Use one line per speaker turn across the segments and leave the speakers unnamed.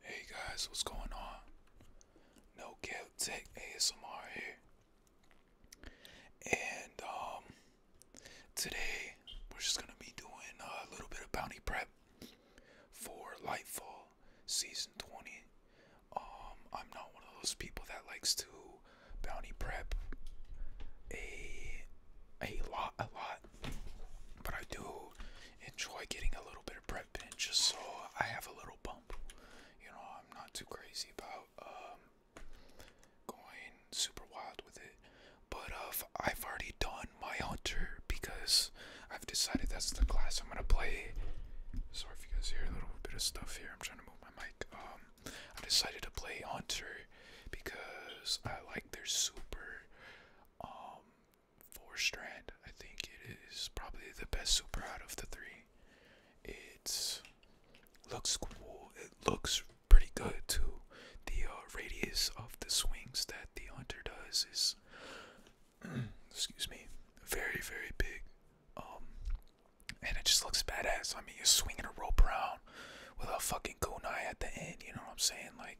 Hey guys, what's going on? No Cap Tech ASMR here. And um today we're just gonna be doing a little bit of bounty prep for Lightfall season 20. Um I'm not one of those people that likes to bounty prep a a lot a lot but I do enjoy getting a little bit of bread in just so I have a little bump. You know, I'm not too crazy about um, going super wild with it. But uh, I've already done my hunter because I've decided that's the class I'm gonna play. Sorry if you guys hear a little bit of stuff here. I'm trying to move my mic. Um, I decided to play hunter because I like their super um four strand. I think it is probably the best super out of the three. It looks cool. It looks pretty good too. The uh, radius of the swings that the hunter does is, excuse me, very very big. Um, and it just looks badass. I mean, you're swinging a rope around with a fucking kunai at the end. You know what I'm saying? Like,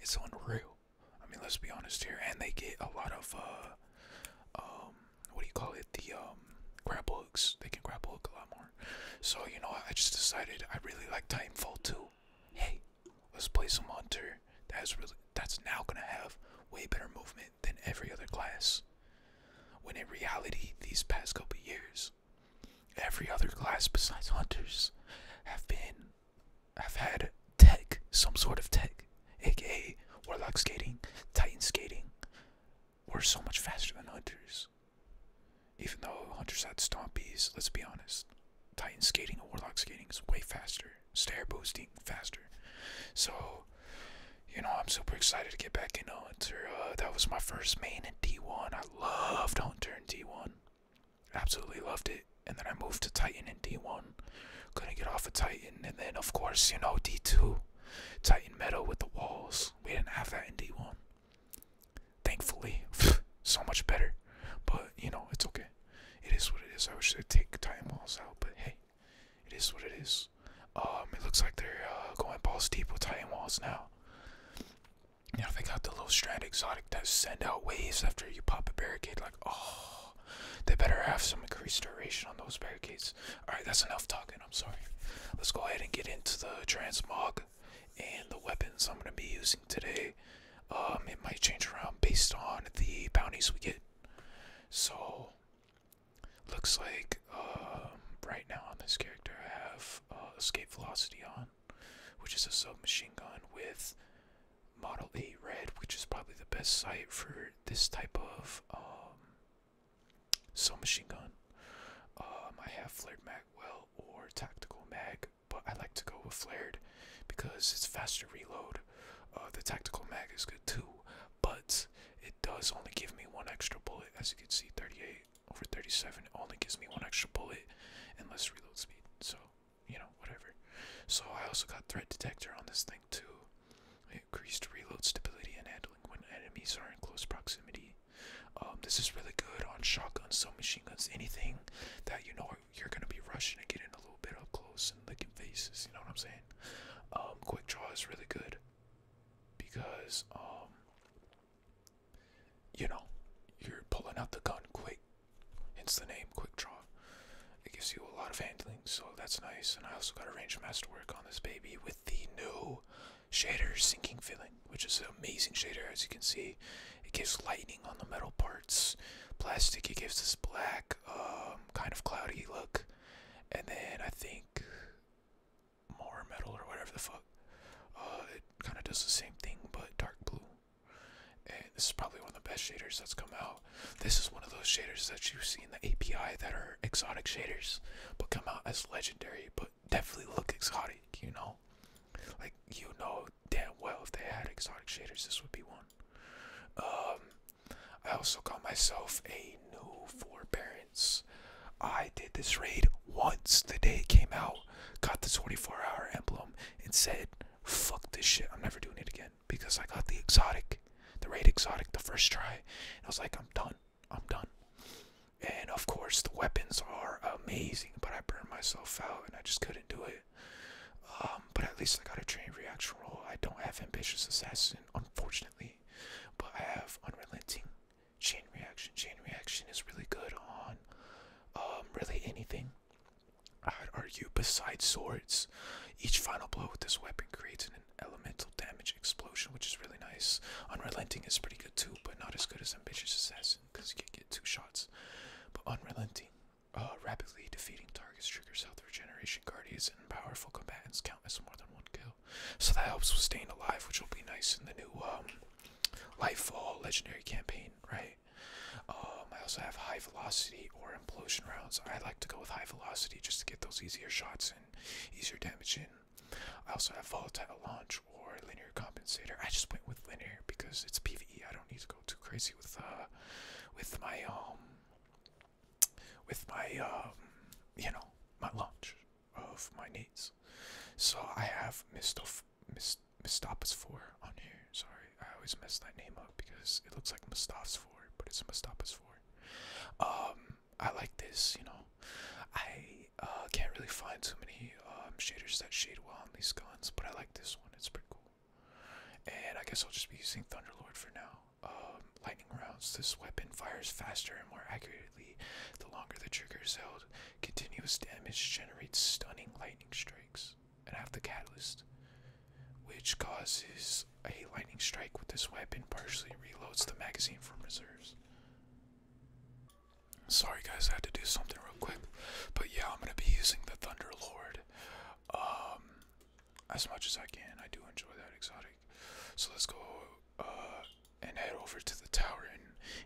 it's unreal. I mean, let's be honest here. And they get a lot of, uh, um, what do you call it? The um, grab hooks. They can grab hook a lot more. So, you know, I just decided I really like Titanfall too. Hey, let's play some Hunter. That's really, that's now gonna have way better movement than every other class. When in reality, these past couple years, every other class besides Hunters have been i have had tech, some sort of tech, aka warlock skating, titan skating, We're so much faster than hunters. Even though hunters had stompies, let's be honest, titan skating and warlock skating is way faster, stair boosting faster. So, you know, I'm super excited to get back in Hunter. Uh, that was my first main in D1. I loved Hunter in D1. Absolutely loved it. And then I moved to Titan in D1. Gonna get off of Titan. And then, of course, you know, D2. Titan Metal with the walls. We didn't have that in D1. Thankfully. so much better. But, you know, it's okay. It is what it is. I wish they'd take Titan walls out. But hey, it is what it is. Um, it looks like they're uh, going balls deep with Titan walls now. You know, they got the little strand exotic that send out waves after you pop a barricade like oh, they better have some increased duration on those barricades. All right, that's enough talking. I'm sorry. Let's go ahead and get into the transmog and the weapons I'm going to be using today. Um, it might change around based on the bounties we get. So, looks like um, right now on this character I have uh, escape velocity on, which is a submachine gun with Model A Red, which is probably the best site for this type of um, submachine gun. Um, I have flared mag well or tactical mag, but I like to go with flared because it's faster reload. Uh, the tactical mag is good too, but it does only give me one extra bullet. As you can see, 38 over 37 only gives me one extra bullet and less reload speed. So you know, whatever. So I also got threat detector on this thing too. Increased reload stability and handling when enemies are in close proximity. Um, this is really good on shotguns, submachine guns, anything that you know you're gonna be rushing and getting a little bit up close and licking faces. You know what I'm saying? Um, quick draw is really good because um, you know you're pulling out the gun quick hence the name Quick Draw. It gives you a lot of handling, so that's nice. And I also got a range masterwork on this baby with the new shader sinking filling, which is an amazing shader as you can see. It gives lightning on the metal parts. Plastic, it gives this black, um, kind of cloudy look. And then I think more metal or whatever the fuck. Uh, it kind of does the same thing, but dark blue. And this is probably one of the best shaders that's come out. This is one of those shaders that you see in the API that are exotic shaders, but come out as legendary, but definitely look exotic, you know? Like, you know damn well if they had exotic shaders, this would be one. Um, I also got myself a new forbearance. I did this raid once the day it came out, got the 24 hour emblem, and said, fuck this shit, I'm never doing it again because I got the exotic, the raid exotic, the first try. I was like, I'm done. I'm done. And of course, the weapons are amazing, but I burned myself out and I just couldn't do it. Um, but at least I got a chain reaction roll. I don't have ambitious assassin, unfortunately, but I have unrelenting chain reaction. Chain reaction is really good on um, really anything. I'd argue, beside swords, each final blow with this weapon creates an elemental damage explosion, which is really nice. Unrelenting is pretty good too, but not as good as Ambitious Assassin because you can get two shots. But Unrelenting, uh, rapidly defeating targets triggers health regeneration, guardians, and powerful combatants count as more than one kill. So that helps with staying alive, which will be nice in the new um, Lightfall Legendary campaign, right? Um, I also have high velocity or implosion rounds. I like to go with high velocity just to get those easier shots and easier damage in. I also have volatile launch or linear compensator. I just went with linear because it's PVE. I don't need to go too crazy with uh, with my um, with my um, you know, my launch of my needs. So I have Mistop Mist Mistopas four on here. Sorry. I always mess that name up because it looks like Mustafa's Ford, but it's Mustafa's Ford. Um, I like this, you know. I uh, can't really find too many um, shaders that shade well on these guns, but I like this one. It's pretty cool. And I guess I'll just be using Thunderlord for now. Um, lightning rounds. This weapon fires faster and more accurately the longer the trigger is held. Continuous damage generates stunning lightning strikes and have the catalyst, which causes a lightning strike with this weapon, partially reloads the magazine from reserves. Sorry guys, I had to do something real quick, but yeah, I'm gonna be using the Thunder Lord, um, as much as I can. I do enjoy that exotic, so let's go uh, and head over to the tower.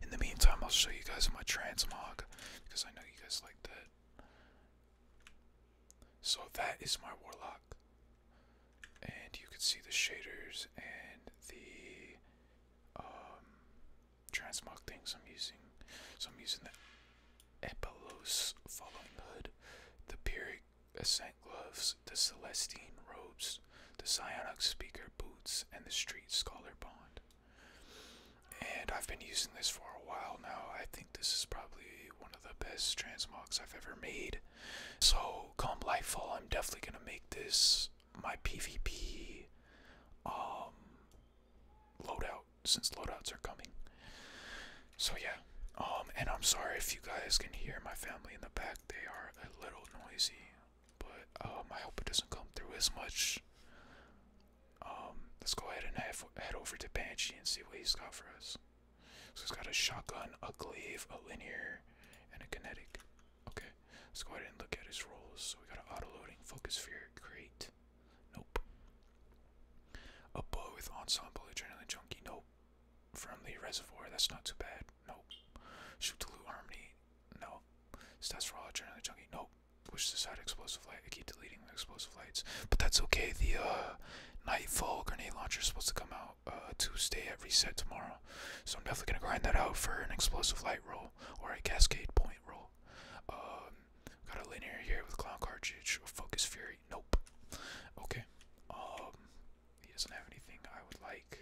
in the meantime, I'll show you guys my transmog because I know you guys like that. So that is my warlock. And you can see the shaders and the um, transmog things I'm using. So I'm using the Epilos Following Hood, the Pyrrhic Ascent Gloves, the Celestine Robes, the Psionic Speaker Boots, and the Street Scholar Bond and I've been using this for a while now. I think this is probably one of the best transmogs I've ever made. So come Lightfall, I'm definitely gonna make this my PvP um, loadout since loadouts are coming. So yeah, um, and I'm sorry if you guys can hear my family in the back. They are a little noisy, but um, I hope it doesn't come through as much. Um, let's go ahead and head over to Banshee and see what he's got for us. So he's got a shotgun, a glaive, a linear, and a kinetic. Okay, let's go ahead and look at his rolls. So we got an auto-loading, focus sphere, great. Nope. A bow with ensemble, adrenaline junkie, nope. Friendly reservoir, that's not too bad, nope. Shoot to loot harmony, no. Stats for all adrenaline junkie, nope. Push this side explosive light, I keep deleting explosive lights. But that's okay. The uh, Nightfall grenade launcher is supposed to come out uh, Tuesday at reset tomorrow. So I'm definitely going to grind that out for an explosive light roll or a cascade point roll. Um, got a linear here with clown cartridge. Focus fury. Nope. Okay. Um, he doesn't have anything I would like.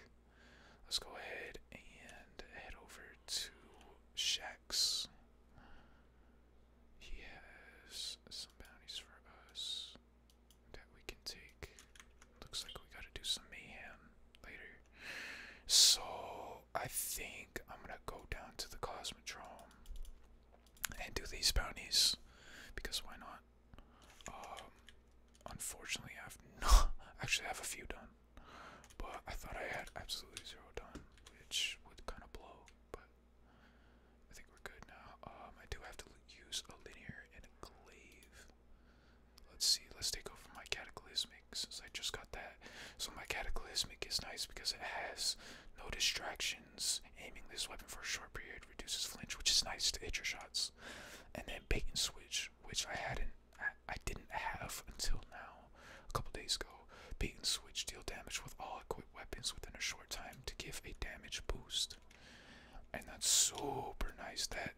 Let's go ahead and head over to Shax. He has some bounties for us that we can take. Looks like we gotta do some mayhem later. So I think I'm gonna go down to the Cosmodrome and do these bounties because why not? Um, unfortunately, I've not actually I have a few done, but I thought I had absolutely zero done, which would kind of blow. But I think we're good now. Um, I do have to use a linear and a glaive. Let's see, let's take over my cataclysmic since I just got that. So my cataclysmic is nice because it has no distractions. Aiming this weapon for a short period reduces flinch, which is nice to hit your shots. And then bait and switch, which I hadn't I didn't have until now, a couple days ago. Bait and switch deal damage with all equipped weapons within a short time to give a damage boost. And that's super nice. That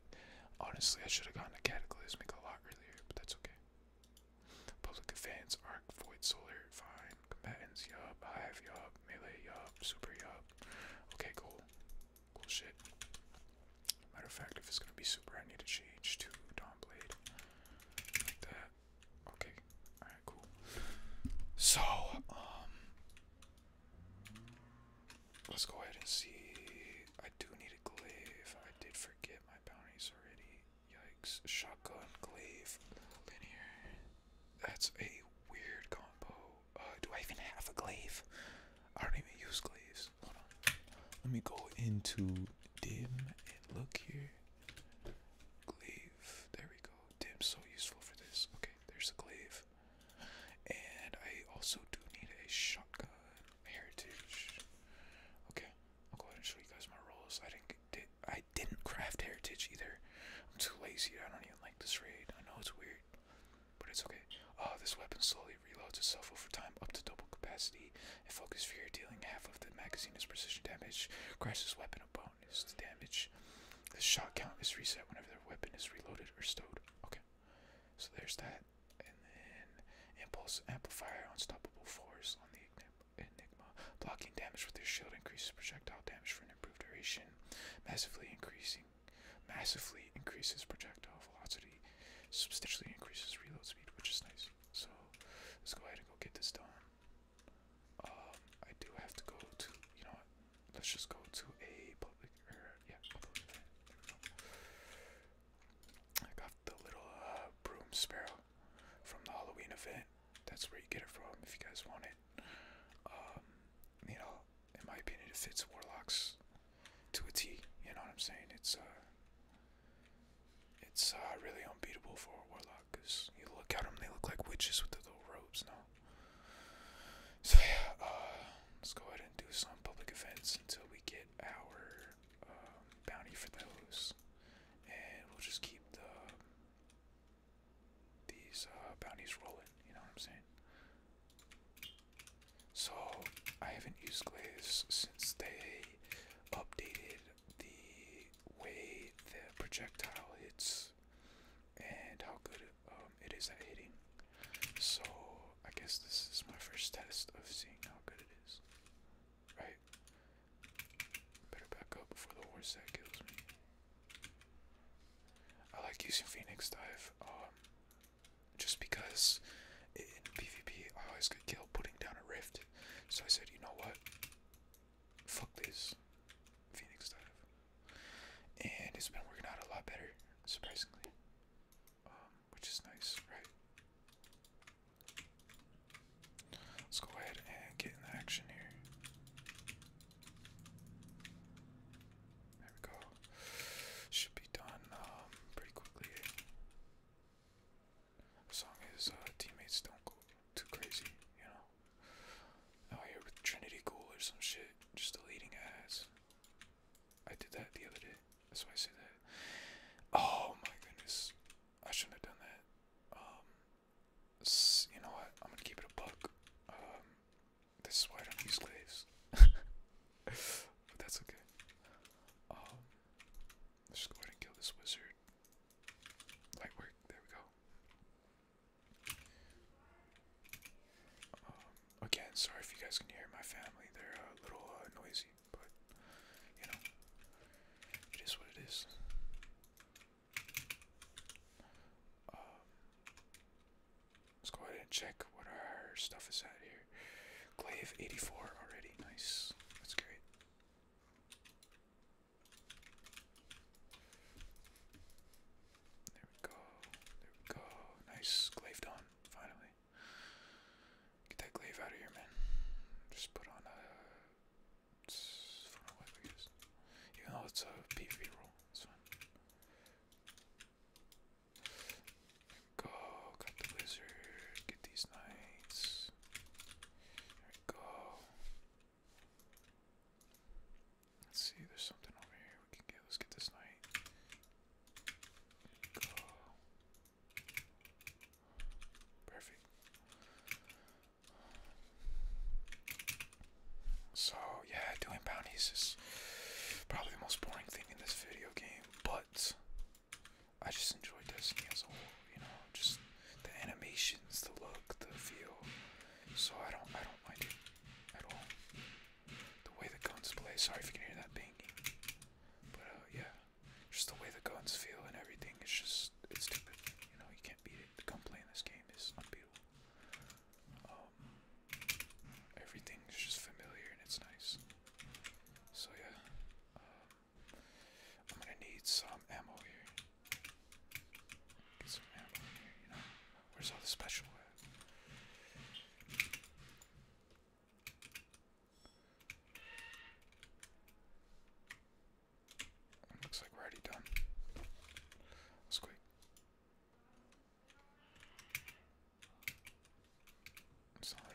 honestly I should have gotten a cataclysmic a lot earlier, but that's okay. Public advance, arc, void, solar, fine. Combatants, I have yup. Melee, yup. Super, yup. Okay, cool. Cool shit. Matter of fact, if it's gonna be super, I need to change to Dawnblade. Like that. Okay. Alright, cool. So, um let's go ahead and see. I do need a glaive. I did forget my bounties already. Yikes. Shotgun glaive linear. That's a weird combo. Uh, do I even have a glaive? I don't even use glaives. Hold on. Let me go into dim and look here. Glaive. There we go go. so useful for this. Okay, there's a glaive. And I also do need a shotgun heritage. Okay, I'll go ahead and show you guys my rolls. I didn't I didn't craft heritage either. I'm too lazy. I don't even like this raid. I know it's weird, but it's okay. Oh, this weapon slowly reloads itself over time up to double capacity and focus fear, dealing half of the magazine's precision damage. Crash this weapon above bonus damage. The shot count is reset whenever their weapon is reloaded or stowed. Okay, so there's that. And then impulse amplifier, unstoppable force on the enigma. Blocking damage with their shield increases projectile damage for an improved duration. Massively increasing, massively increases projectile velocity. Substantially increases reload speed, which is nice. So let's go ahead and go get this done. Um, I do have to go to, you know what, let's just go to a public, or, yeah, I got the little uh, broom sparrow from the Halloween event. That's where you get it from if you guys want it. Um, you know, in my opinion, it fits Warlocks to a T. You know what I'm saying? It's, uh, it's uh, really unbeatable for warlocks. Because you look at them, they look like witches with the little robes now. So yeah, uh, let's go ahead and do some public events until we get our um, bounty for those, and we'll just keep the these uh, bounties rolling. You know what I'm saying? So I haven't used glaze since they updated the way the projectile hits and how good um, it is at hitting. So I guess this is my first test of seeing how good it is. Right? Better back up before the horse that kills me. I like using Phoenix Dive um, just because in PvP I always get killed putting down a rift. So I said, you know what? fuck this Phoenix dive. And it's been working out a lot better, surprisingly. Um, which is nice, right? Let's go ahead and get in the action here. There we go. Should be done um, pretty quickly. As long uh, teammates don't go too crazy, you know. Now oh, here with Trinity Ghoul or some shit, just deleting ads. I did that the other day. That's why I say that. Oh my goodness, I shouldn't have done that. Um, you know what? I'm gonna keep it a buck. Um, this is why I don't use glaves. but that's okay. Um, let's just go ahead and kill this wizard. Light work. There we go. Um, again, sorry if you guys can hear my family. They're a little uh, noisy, but you know, it is what it is. Um, let's go ahead and check what our stuff is at here. Glaive 84 already. Nice. That's great. There we go. There we go. Nice. Glaive on, finally. Get that glaive out of here, man. Just put on a. I what we Even though it's a PvP roll, it's fine. Go, got the wizard, get these knights. There we go. Let's see, there's something over here we can get. Let's get this knight. Go. Perfect. So, yeah, doing bounties is probably the most boring thing in this video game, but I just enjoy Destiny as a whole, you know, just the animations, the look, the feel. So I don't, I don't mind it at all. The way the guns play. Sorry if you can hear that banging. But uh, yeah, just the way the guns feel and everything. It's just, it's stupid. You know, you can't beat it. The gun play in this game is unbeatable. Um, everything is just familiar and it's nice. So yeah, um, I'm gonna need some ammo here. Get some ammo in here, you know? Where's all the special looks like we're already done. Let's quick.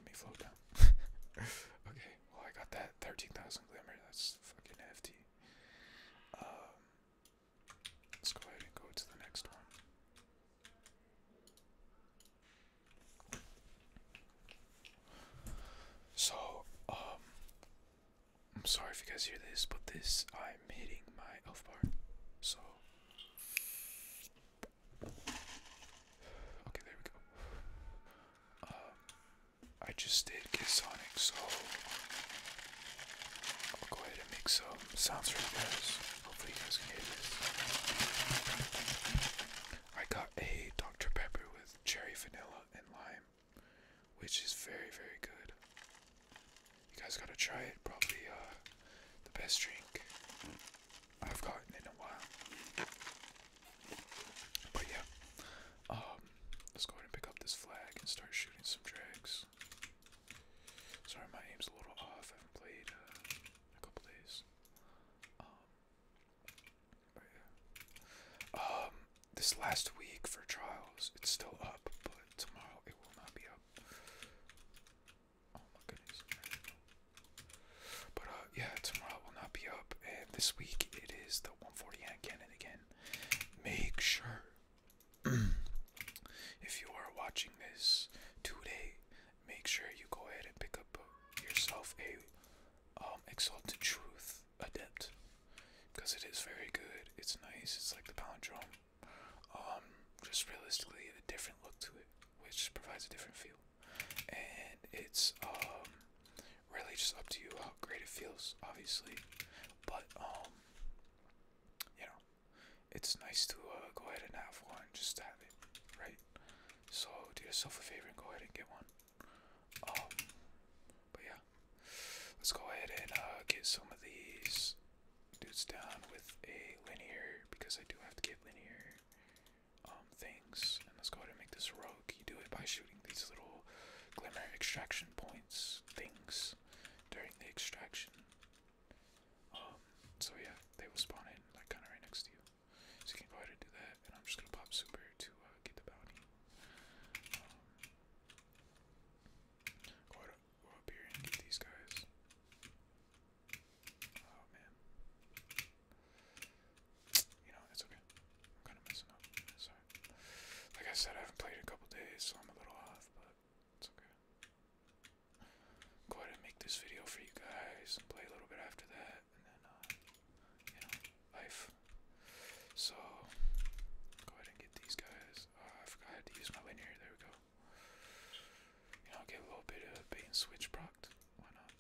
me float down. okay, well I got that 13,000 glimmer, that's fucking hefty. Um, Let's go ahead and go to the next one. So, um, I'm sorry if you guys hear this, but this, I'm hitting my elf bar. So, okay, there we go. Um, I just did get Sonic, so I'll go ahead and make some sounds for you guys. Hopefully, you guys can hear this. I got a Dr. Pepper with cherry, vanilla, and lime, which is very, very good. You guys gotta try it. Probably uh, the best drink I've gotten in a while. But yeah, um, let's go ahead and pick up this flag and start shooting some drags. Sorry, my aim's a little off. I played uh, a couple days. Um, oh, um, this last week for trials, it's still up, but tomorrow it will not be up. Oh my goodness. But uh, yeah, tomorrow will not be up, and this week it is the 140 hand cannon again. Make sure if you are watching this today, make sure you go ahead and pick up yourself a um, Exalted Truth Adept because it is very good. It's nice. It's like the palindrome. Um, just realistically, a different look to it, which provides a different feel, and it's um really just up to you how great it feels, obviously. But um, you know, it's nice to uh, go ahead and have one just to have it, right? So do yourself a favor and go ahead and get one. Um, but yeah, let's go ahead and uh, get some of these dudes down with a linear because I do have to get linear um, things. And let's go ahead and make this rogue. You do it by shooting these little glimmer extraction points things during the extraction. Um, so yeah, they will spawn in like kind of right next to you. So you can go ahead and do that, and I'm just gonna pop super to uh, get the bounty. Um, go, up here and get these guys. Oh man, you know it's okay. I'm kind of messing up. Sorry. Like I said, I haven't played in a couple days, so I'm a little off. But okay. Go ahead and make this video for you guys play a little bit after that, and then, uh, you know, life. So, go ahead and get these guys. Uh, I forgot to use my linear. There we go. You know, get a little bit of bait switch proc. Why not?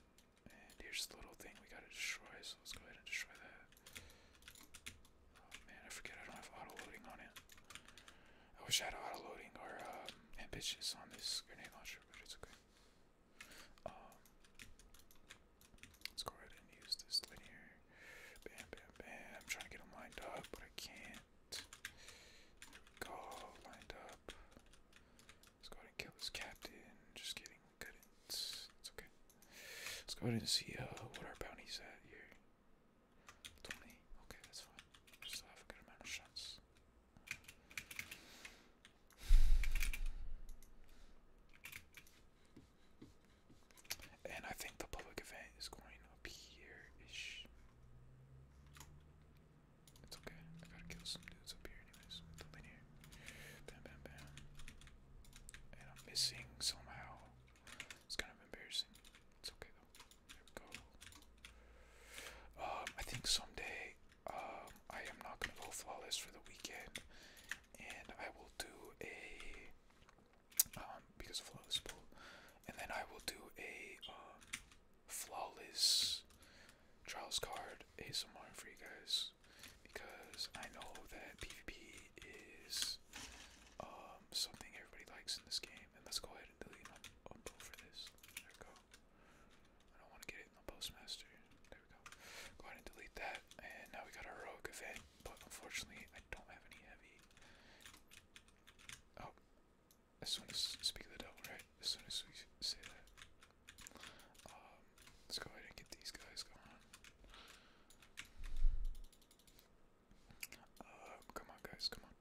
And here's the little thing we gotta destroy, so let's go ahead and destroy that. Oh, man, I forget I don't have auto loading on it. I wish I had auto loading or um, ambitious on this grenade launcher, but it's okay. Um, let's go ahead and use this linear. Bam, bam, bam. I'm trying to get them lined up, but I can't. There we go, lined up. Let's go ahead and kill this captain. Just kidding, It's okay. Let's go ahead and see uh, what our bounty's at here. 20. Okay, that's fine. still have a good amount of shots. And I think the public event is going up here ish. It's okay. I gotta kill some dudes up here, anyways. With the Bam, bam, bam. And I'm missing somehow. It's kind of embarrassing. It's okay though. There we go. Um, I think someday um, I am not gonna go flawless for the weekend, and I will do a um, because flawless and then I will do a um, flawless trials card ASMR for you guys because I know that PvP is. Uh, um, something everybody likes in this game. And let's go ahead and delete them unpo for this. There we go. I don't want to get it in the postmaster. There we go. Go ahead and delete that. And now we got a heroic event, but unfortunately I don't have any heavy. Oh, as soon as speak the devil, right? As soon as we say that. Um, let's go ahead and get these guys going. Uh, come on, guys, come on.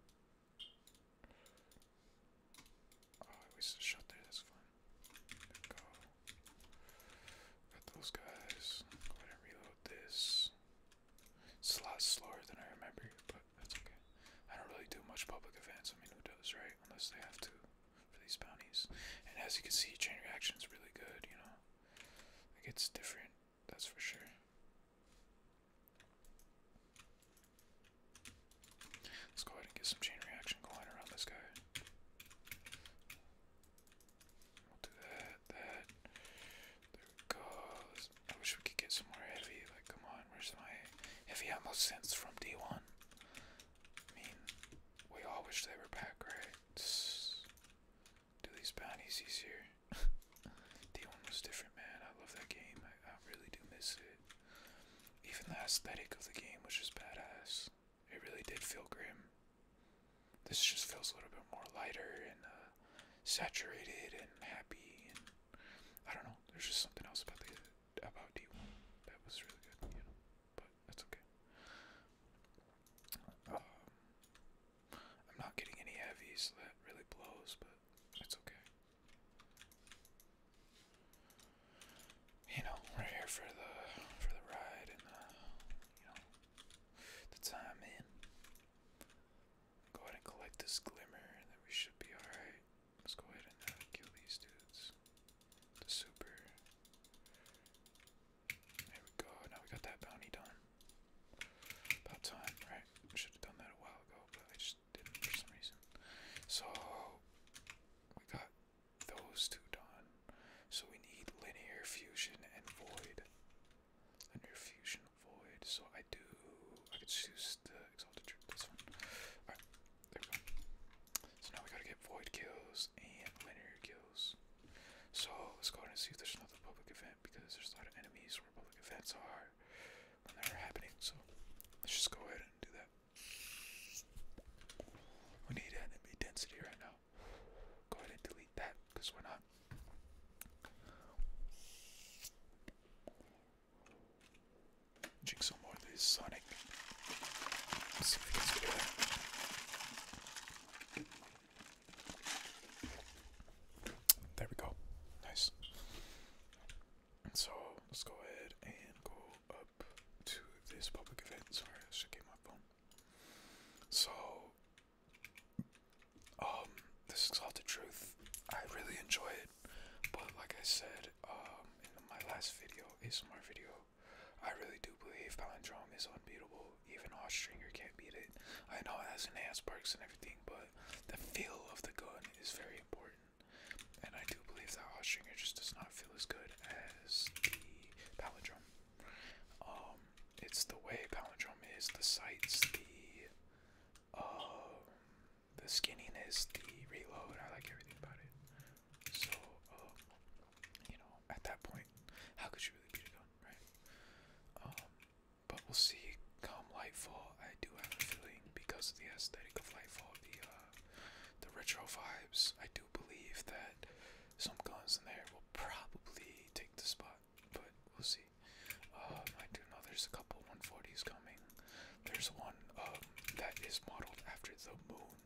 Oh, I wasted a shot there, that's fine. There Got those guys. Go ahead and reload this. It's a lot slower than I remember, but that's okay. I don't really do much public events. I mean, who does, right? Unless they have to for these bounties. And as you can see, chain reaction is really good, you know? it gets different that's for sure. Let's go ahead and get some chain reaction going around this guy. We'll do that, that. There we I wish we could get some more heavy. Like, come on, where's my heavy ammo sense from D1? I mean, we all wish they were back, right? do these bounties easier. D1 was different, man. I love that game. I, really do miss it. Even the aesthetic of the game was just badass. It really did feel grim. This just feels a little bit more lighter and uh, saturated and happy. And I don't know. There's just something else about D1 that was really good, you know. But that's okay. Um, I'm not getting any heavies, so that really blows, but it's okay. You know, we're here for the for the ride and the uh, you know the time in. Go ahead and collect this glimmer, and then we should be alright. Let's go ahead and uh, kill these dudes. The super. There we go. Now we got that bounty done. About time, right? Should have done that a while ago, but I just didn't for some reason. So we got those two done. So we need linear fusion and void. Linear fusion void. So I do I could choose the exalted truth, this one. there we go. So now we gotta get void kills and linear kills. So let's go ahead and see if there's another public event because there's a lot of enemies where public events are when happening. So let's just go ahead and do that. We need enemy density right now. Go ahead and delete that because we're not. Jigsaw more of these Sonic. There we go. Nice. So let's go ahead and go up to this public event. Sorry, I should get my phone. So um this is called the truth. I really enjoy it. But like I said, um in my last video, ASMR video, I really do believe Palindrome is unbeatable. Even Ostringer can't beat it. I know it has ass perks and but the feel of the gun is very important. And I do believe that Ostringer just does not feel as good as the Palindrome. Um, it's the way Palindrome is, the sights, the um, the skinniness, the reload. I like everything about it. So, um, you know, at that point, how could you really beat a gun, right? But we'll see come Lightfall. I do have a feeling because of the aesthetic of Lightfall, the uh, the retro vibes, I do believe that some guns in there will probably take the spot. But we'll see. Um, I do know there's a couple 140s coming. There's one um, that is modeled after the moon.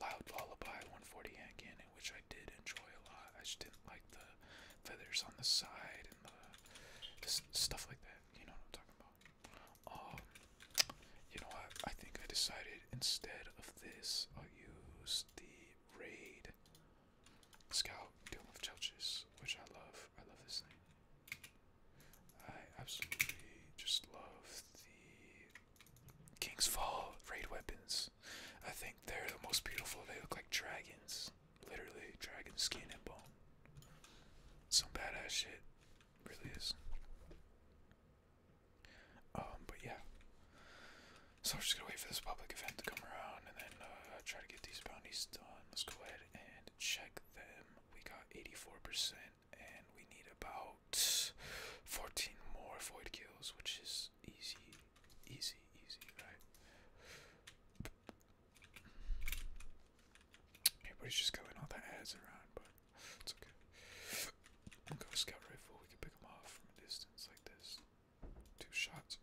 Loud Lullaby 140 hand cannon, which I did enjoy a lot. I just didn't like the feathers on the side and the stuff like that. You know what I'm talking about. Um, you know what? I think I decided instead of this, I'll use the raid scout dome of Chelches, which I love. I love this thing. I absolutely just love the King's Fall raid weapons. I think they're the most beautiful. They look like dragons. Literally, dragon skin and bone. Some badass shit. Really is. Um, but yeah. So I'm just gonna wait for this public event to come around and then uh, try to get these bounties done. Let's go ahead and check them. We got 84% and we need about 14 more void kills, which is easy, easy, easy, right? Everybody's just going all the heads around, but it's okay. We'll go scout rifle, we can pick them off from a distance like this. Two shots,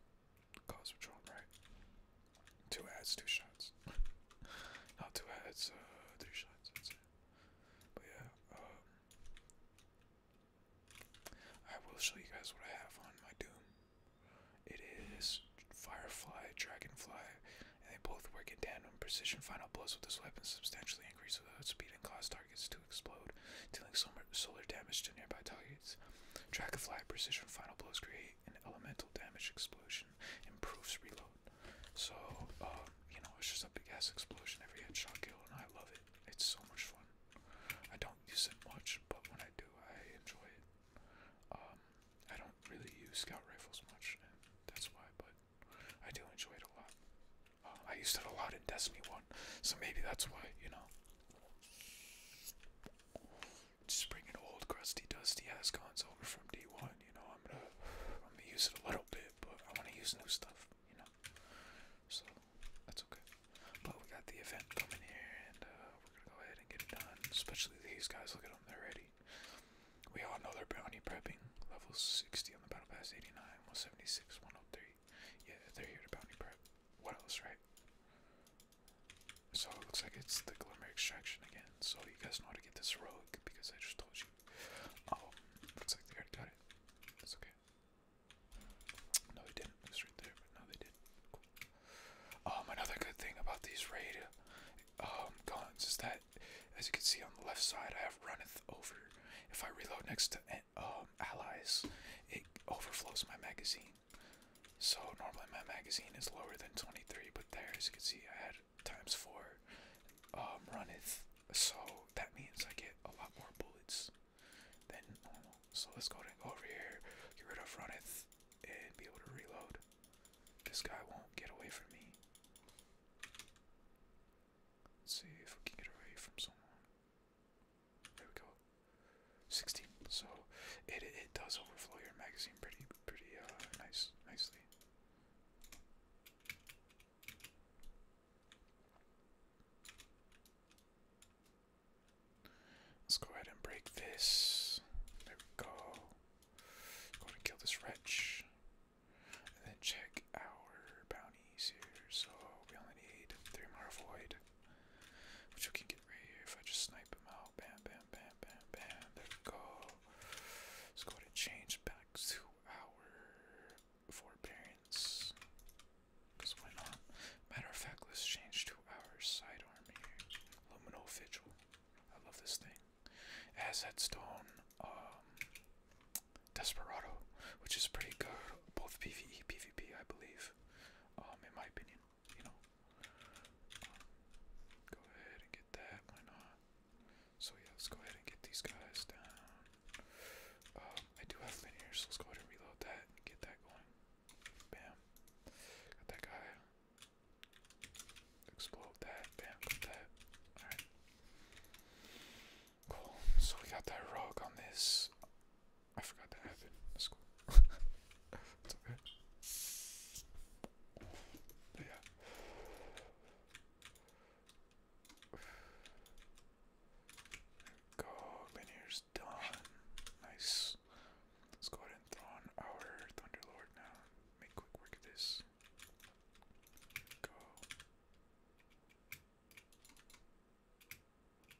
cause patrol, right? Two heads, two shots. Not two heads, uh, three shots, that's it. But yeah, um, I will show you guys what I have on my Doom. It is Firefly, Dragonfly, and they both work in tandem. Precision final blows with this weapon substantially increase the speed and cause targets to explode, dealing solar damage to nearby targets. Dragonfly precision final blows create an elemental damage explosion, improves reload. So, um, you know, it's just a big ass explosion every headshot kill, and I love it. It's so much fun. I don't use it much, but when I do, I enjoy it. Um, I don't really use scout rifles much, that's why, but I do enjoy it a lot. Uh, I used it a lot in Destiny 1, so maybe that's why, you know. Just bringing old crusty dusty ass over from D1, you know, I'm gonna I'm gonna use it a little bit, but I wanna use new stuff, you know. So that's okay. But we got the event coming here, and uh, we're gonna go ahead and get it done. Especially these guys, look at them, they're ready. We all know they're bounty prepping. Level 60 on the battle pass, 89, 176, 103. Yeah, they're here to bounty prep. What else, right? So it looks like it's the glimmer extraction again. So you guys know how to get this rogue because I just told you. Oh, looks like they already got it. okay. No, they didn't. It's right there, but no, they did. Um, another good thing about these raid um, guns is that, as you can see on the left side, I have runneth over. If I reload next to eh, um, allies, it overflows my magazine. So normally my magazine is lower than 23, but there, as you can see, I had times four runneth. So that means I get a lot more bullets than normal. So let's go and go over here, get rid of runneth and be able to reload. This guy won't get away from me. see if we can get away from someone. There we go. 16. So it it does overflow your magazine pretty pretty uh nice nicely. Let's go ahead and break this. There we go. Go ahead and kill this wretch. And then check our bounties here. So we only need three more void. Which we can get right here if I just snipe him out. Bam, bam, bam, bam, bam. There we go. Let's go ahead and change back to our forbearance. Because why not? Matter of fact, let's change to our sidearm here. Luminal Vigil. I love this thing. It has that stone, um, Desperado, which is pretty good. Both PvE, PvP, I believe. Um, in my opinion, you know. Um, go ahead and get that, why not? So yeah, let's go ahead and get these guys down. Um, I do have linear, so let's go ahead and reload that and get that going. Bam. Got that guy. Explode that. Bam. Got that. Alright. Cool. So we got that rock on this. I forgot that happened. That's cool. it's okay. yeah. go. Linear done. Nice. Let's go ahead and throw on our Thunderlord now. Make quick work of this. Go.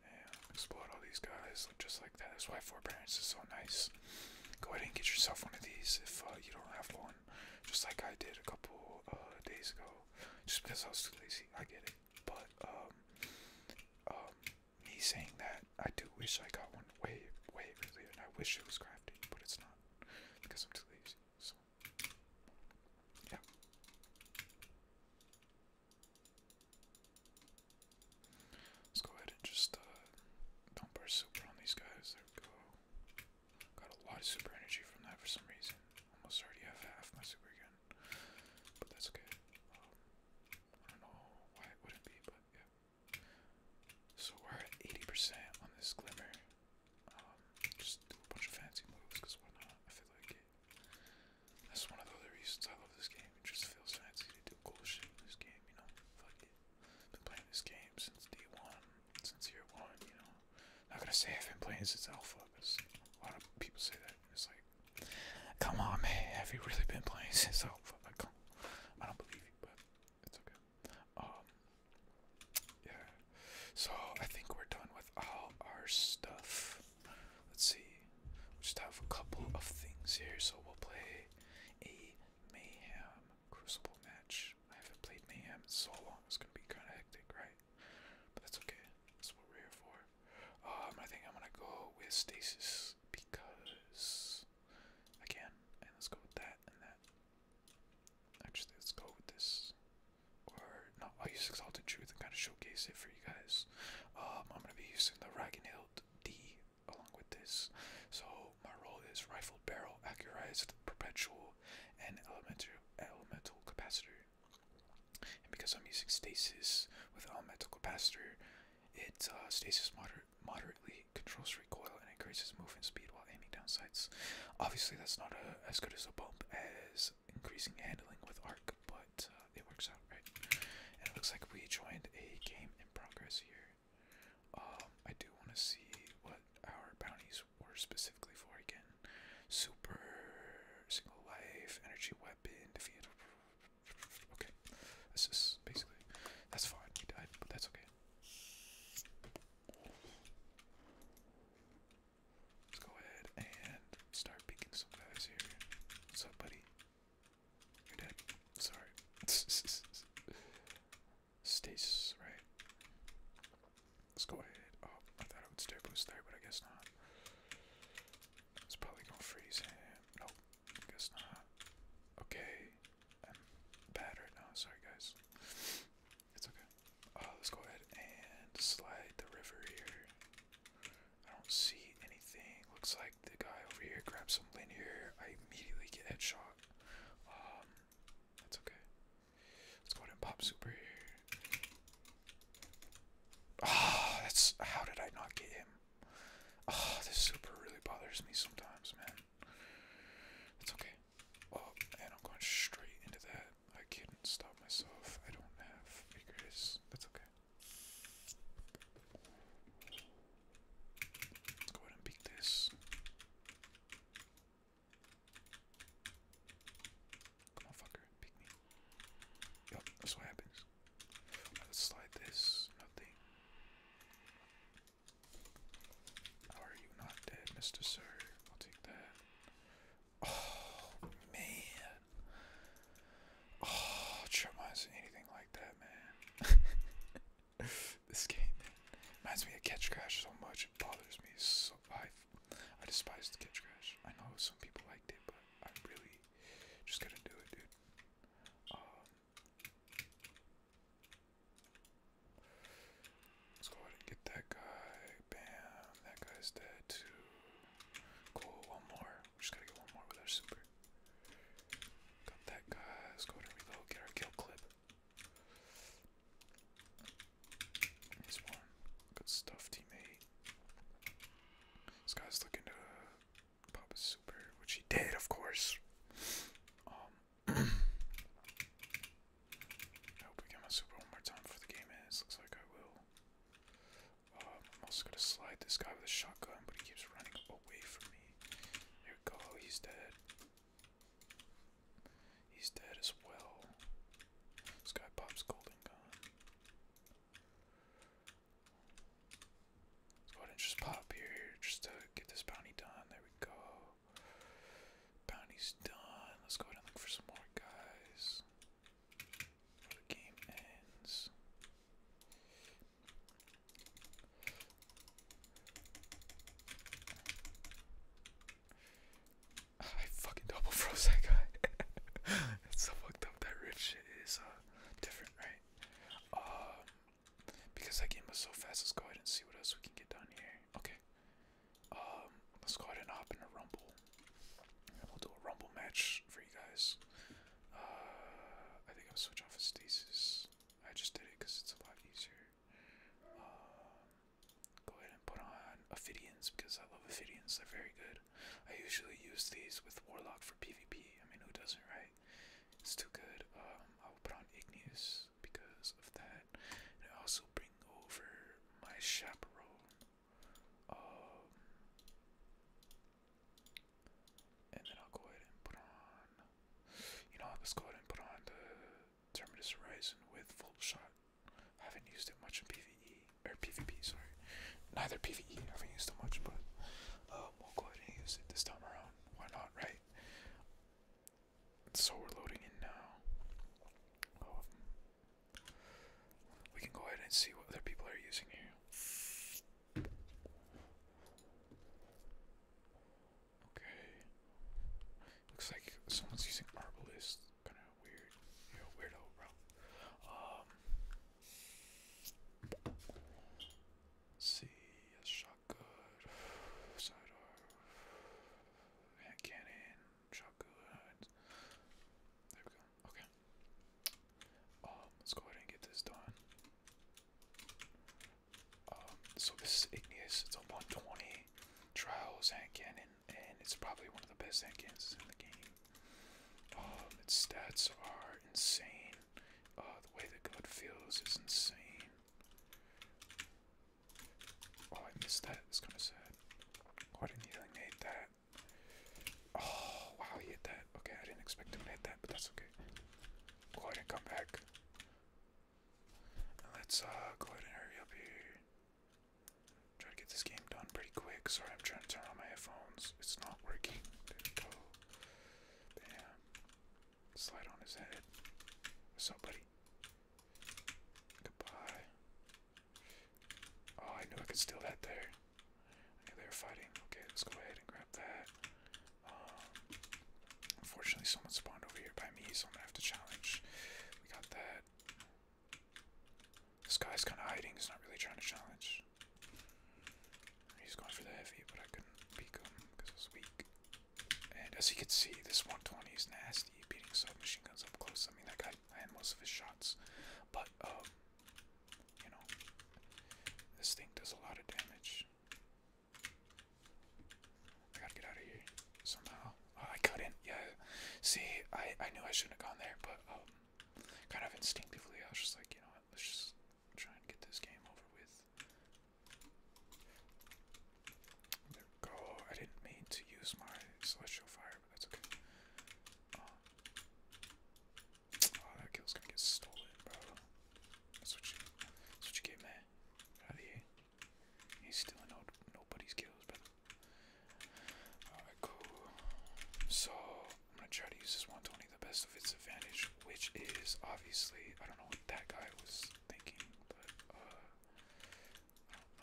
Bam. Explode all these guys just like that. That's why forbearance is so nice. Go ahead and get yourself one of these if uh, you don't have one. Just like I did a couple uh, days ago. Just because I was too lazy. I get it. But, um, um, me saying that, I do wish I got one way, way earlier, and I wish it was crafting, but it's not because I'm too lazy. So, yeah. Let's go ahead and just uh, dump our super on these guys. There we go. Got a lot of super energy from that for some reason. Almost already have half my super again, but that's okay. Um, I don't know why it wouldn't be, but yeah. So we're at 80% on this glimmer. Um, just do a bunch of fancy moves, why not? I feel like That's one of the other reasons I love this game. It just feels fancy to do cool shit in this game, you know? Fuck it. Been playing this game since day one, since year one, you know? Not gonna say I've been playing since alpha, a lot of people say that. It's like, come on, man, have you really been playing since alpha? I don't believe you, but it's okay. Um, yeah. So I think we're done with all our stuff. Let's see. We just have a couple of things here, so we'll play a mayhem crucible match. I haven't played mayhem so long. It's gonna be kind of hectic, right? But that's okay. That's what we're here for. Um, I think I'm gonna go with stasis because again, let's go with that and that. Actually, let's go with this. Or no, I'll use Exalted Truth and kind of showcase it for you guys. Um, I'm gonna be using the Ragnhild D along with this. So my role is rifled barrel, accurized, perpetual, and elemental elemental capacitor. And because I'm using stasis with elemental capacitor, it uh, stasis moder moderately controls recoil and increases movement speed while aiming down sights. Obviously, that's not as good as a bump as increasing handling with arc, but uh, it works out right. And it looks like we joined a game in progress here. Um, I do want to see what our bounties were specifically for again. Super, single life, energy weapon, defeat, Okay, that's just basically that's fine. He died, but that's okay. Let's go ahead and start picking some guys here. What's up, buddy? You're dead. Sorry. Stasis, right? Let's go ahead. Oh, I thought I would stair but I guess not. It's probably gonna freeze Nope, guess Okay, I'm bad right oh, now. Sorry, guys. It's okay. Uh, let's go ahead and slide the river here. I don't see anything. Looks like the guy over here grabs some linear. I immediately get headshot. Um, that's okay. Let's go ahead and pop super here. Ah, that's how did I not get him? Oh, this super really bothers me sometimes, man. It's okay. Oh, and I'm going straight into that. I couldn't stop myself. I don't have figures. That's okay. go ahead and beat this. Come on, fucker, pick me. Yup, that's what happens. slide this. Nothing. How are you not dead, Mr. Sir? I'll take that. Oh, man. Oh, reminds me anything like that, man. this game, Reminds me of Catch Crash so much, it bothers me so I, I despise the Catch Crash. I know some people liked it, but I really just couldn't do it, dude. Um, Let's go ahead and get that guy. Bam. That guy's dead too. Cool. One more. We just gotta get one more with our super. Got that guy. Let's go ahead and reload. Get our kill clip. He's one. Good stuff, teammate. This guy's looking to Pop a super, which he did, of course. Um, I hope we get my super one more time before the game ends. Looks like I will. Um, I'm also gonna slide this guy with a shotgun, but he keeps running away from me. Here go, he's dead. He's dead as well. This guy pops golden gun. Let's go ahead and just pop here just to get this bounty done. There we go. Bounty's done. Let's go ahead and look for some more guys. the game ends. I fucking double froze that guy. That's so fucked up. That rich shit is uh, different, right? Um because that game was so fast, let's go ahead and see what else we can get done here. Okay. Um, let's go ahead and hop in a rumble. We'll do a rumble match for you guys. Uh, I think I'll switch off of stasis. I just did it because it's a lot easier. Um, go ahead and put on Ophidians because I love Ophidians. They're very good. I usually use these with Warlock for PvP. I mean, who doesn't, right? It's too good. Um, I will put on Igneous because of that. And I also bring over my chaperone. Um, and then I'll go ahead and put on. You know, let's go ahead and put on the Terminus Horizon with full shot. I haven't used it much in PVE or PvP, sorry. Neither PvE, I haven't used it much, but um, we'll go ahead and use it this time around. Why not, right? So we're loading in now. Oh. We can go ahead and see what other people are using here. Okay. Looks like someone's using Arbalist. Kinda weird. You're a weirdo, bro. Um. Let's good. Sidearm. Hand cannon. Shot There we go. Okay. let's go ahead and get this done. so this is Igneous. It's a 120 trials hand cannon, and it's probably one of the best hand cannons in the game. Um, its stats are insane. the way that God feels is insane. Oh, I missed that. It's kind of sad. Why oh, didn't he like that? Oh, wow, he hit that. Okay, I didn't expect him to hit that, but that's okay. Go ahead and come back. let's uh, go ahead and hurry up here. Try to get this game done pretty quick. Sorry, I'm trying to turn on my headphones. It's not working. There Slide on his head. Somebody. Goodbye. Oh, I knew I could steal that there. I knew they were fighting. Okay, let's go ahead and grab that. Um, unfortunately, someone spawned over here by me, so I'm gonna have to challenge. We got that. This guy's kind of hiding. He's not really trying to challenge. He's going for the heavy, but I couldn't peek him because I was weak. And as you can see, this 120 is nasty, beating submachine guns up close. I mean, that guy I had most of his shots, but um, you know, this thing does a lot of damage. I gotta get out of here somehow. Oh, I couldn't. Yeah, see, I I knew I shouldn't have gone there, but um, kind of instinctively, I was just like, you know what, let's just try and get this game over with. go. I didn't mean to use my celestial fire, but that's okay. Uh, oh, that kill's gonna get stolen, bro. That's what you, man. Get out of He's stealing nobody's kills, but Alright, cool. So, I'm gonna try to use this 120 the best of its advantage which is obviously I don't know what that guy was thinking, but uh,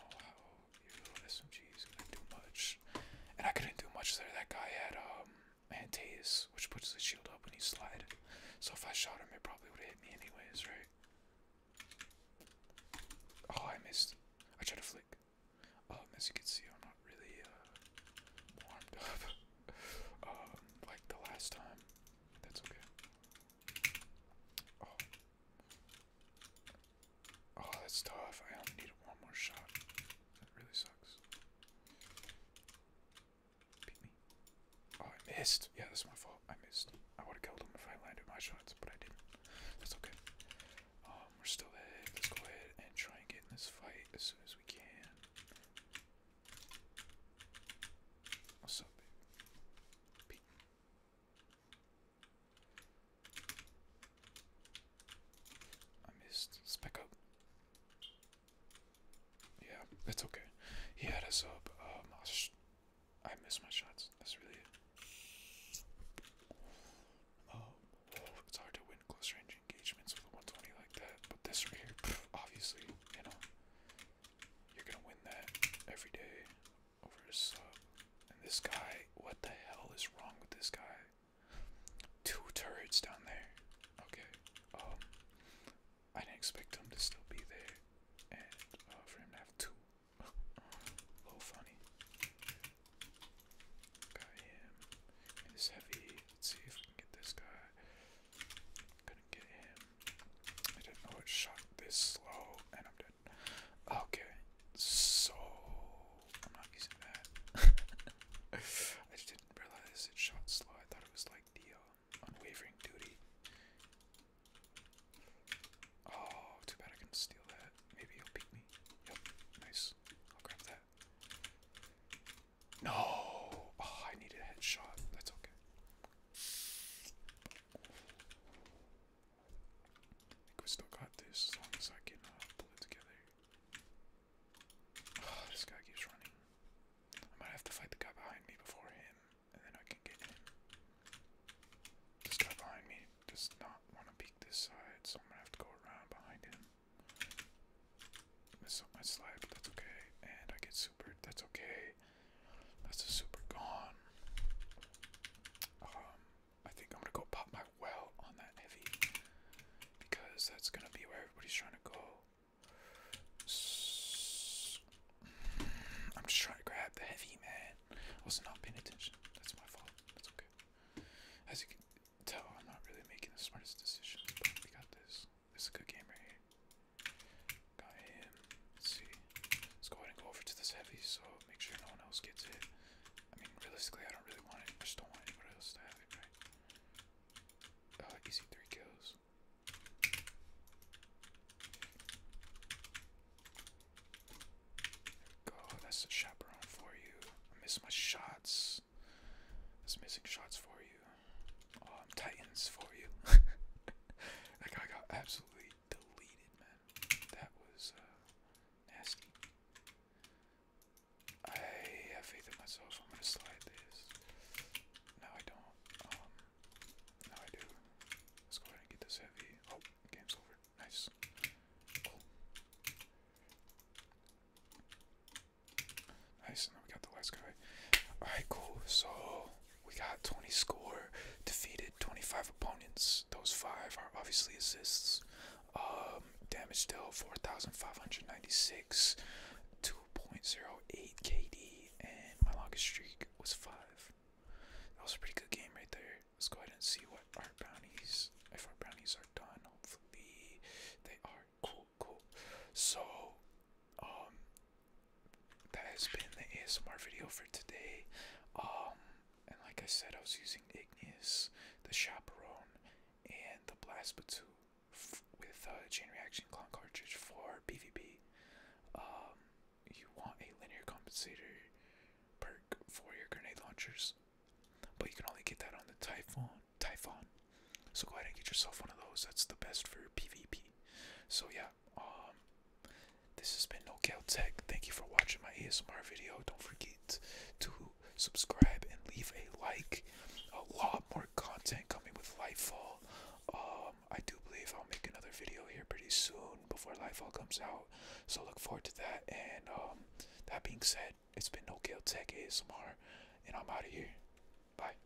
I don't know how SMG is gonna do much, and I couldn't do much there. That guy had um Antaeus, which puts his shield up when you slide, so if I shot him, it probably would have hit me anyways, right? Oh, I missed. I tried to flick. Um, as you can see, I'm not really uh, warmed up um, like the last time. That's okay. Oh. Oh, that's tough. I only need one more shot. That really sucks. Beat me. Oh, I missed. Yeah, that's my fault. I missed. I would have killed him if I landed my shots, but I didn't. That's okay. Um, we're still ahead. Let's go ahead and try and get in this fight as soon as we can. What's I missed. Spec up. Yeah, it's okay. He had us up. Um, I, I missed my shots. That's really it. Um, oh, it's hard to win close range engagements with a 120 like that. But this right here, obviously, you know, you're gonna win that every day over a And this guy, what the hell is wrong with this guy? Two turrets down there. Okay. Um, I didn't expect him to still be there, and uh, for him to have two. A little funny. Got him. And heavy. Let's see if we can get this guy. Couldn't get him. I didn't know it shot this slow, and I'm dead. Okay, so I'm not using that. I just didn't realize it shot slow. I thought it was like um, unwavering duty. Oh, too bad I can steal that. Maybe he'll beat me. Yep, nice. I'll grab that. No! Oh, I need a headshot. That's okay. I think we still got this as long as I can uh, pull it together. this guy keeps running. I might have to fight the guy behind me before him, and then I can get him. This guy behind me does not want to peek this side, so I'm gonna have to go around behind him. Miss up my slide, but that's okay. And I get that's okay. That's a super gone. Um, I think I'm gonna go pop my well on that heavy because that's gonna be where everybody's trying to go. i I'm just trying to grab the heavy, man. I was not paying attention. That's my fault. That's okay. As you can tell, I'm not really making the smartest decision, but we got this. This is a good game right here. Let's go ahead and go over to this heavy so make sure no one else gets it. I mean, realistically, I don't really want it. I just don't want anybody else to have it, right? Uh, easy three kills. go. That's a chaperon for you. I miss my shots. That's missing shots for you. Oh, Titans for you. that guy got absolutely deleted, man. That was uh, nasty. I have faith in myself, I'm gonna slide this. No, I don't. Um, I do. Let's go ahead and get this heavy. Oh, game's over. Nice. Cool. Nice, and we got the last guy. Alright, So, we got 20 score, defeated 25 opponents. Those five are obviously assists. Um, damage dealt 4,596, 2.08 KD, and my longest streak was five. That was a pretty good game right there. Let's go ahead and see what our bounties, if our bounties are done. Hopefully they are. Cool, cool. So, um, that has been the ASMR video for today. Um, and like I said, I was using Ignis, the Chaperone, and the Blast Batu with a uh, Chain Reaction Clone Cartridge for PvP. Um, you want a linear compensator perk for your grenade launchers, but you can only get that on the Typhon. Typhon. So go ahead and get yourself one of those. That's the best for PvP. So yeah, um, this has been No Cal Tech. Thank you for watching my ASMR video. Don't forget to subscribe and leave a like. A lot more content coming with Lightfall. Um, I do believe I'll make another video here pretty soon before Lightfall comes out. So look forward to that. And um, that being said, it's been No Cal Tech ASMR, and I'm out of here. Bye.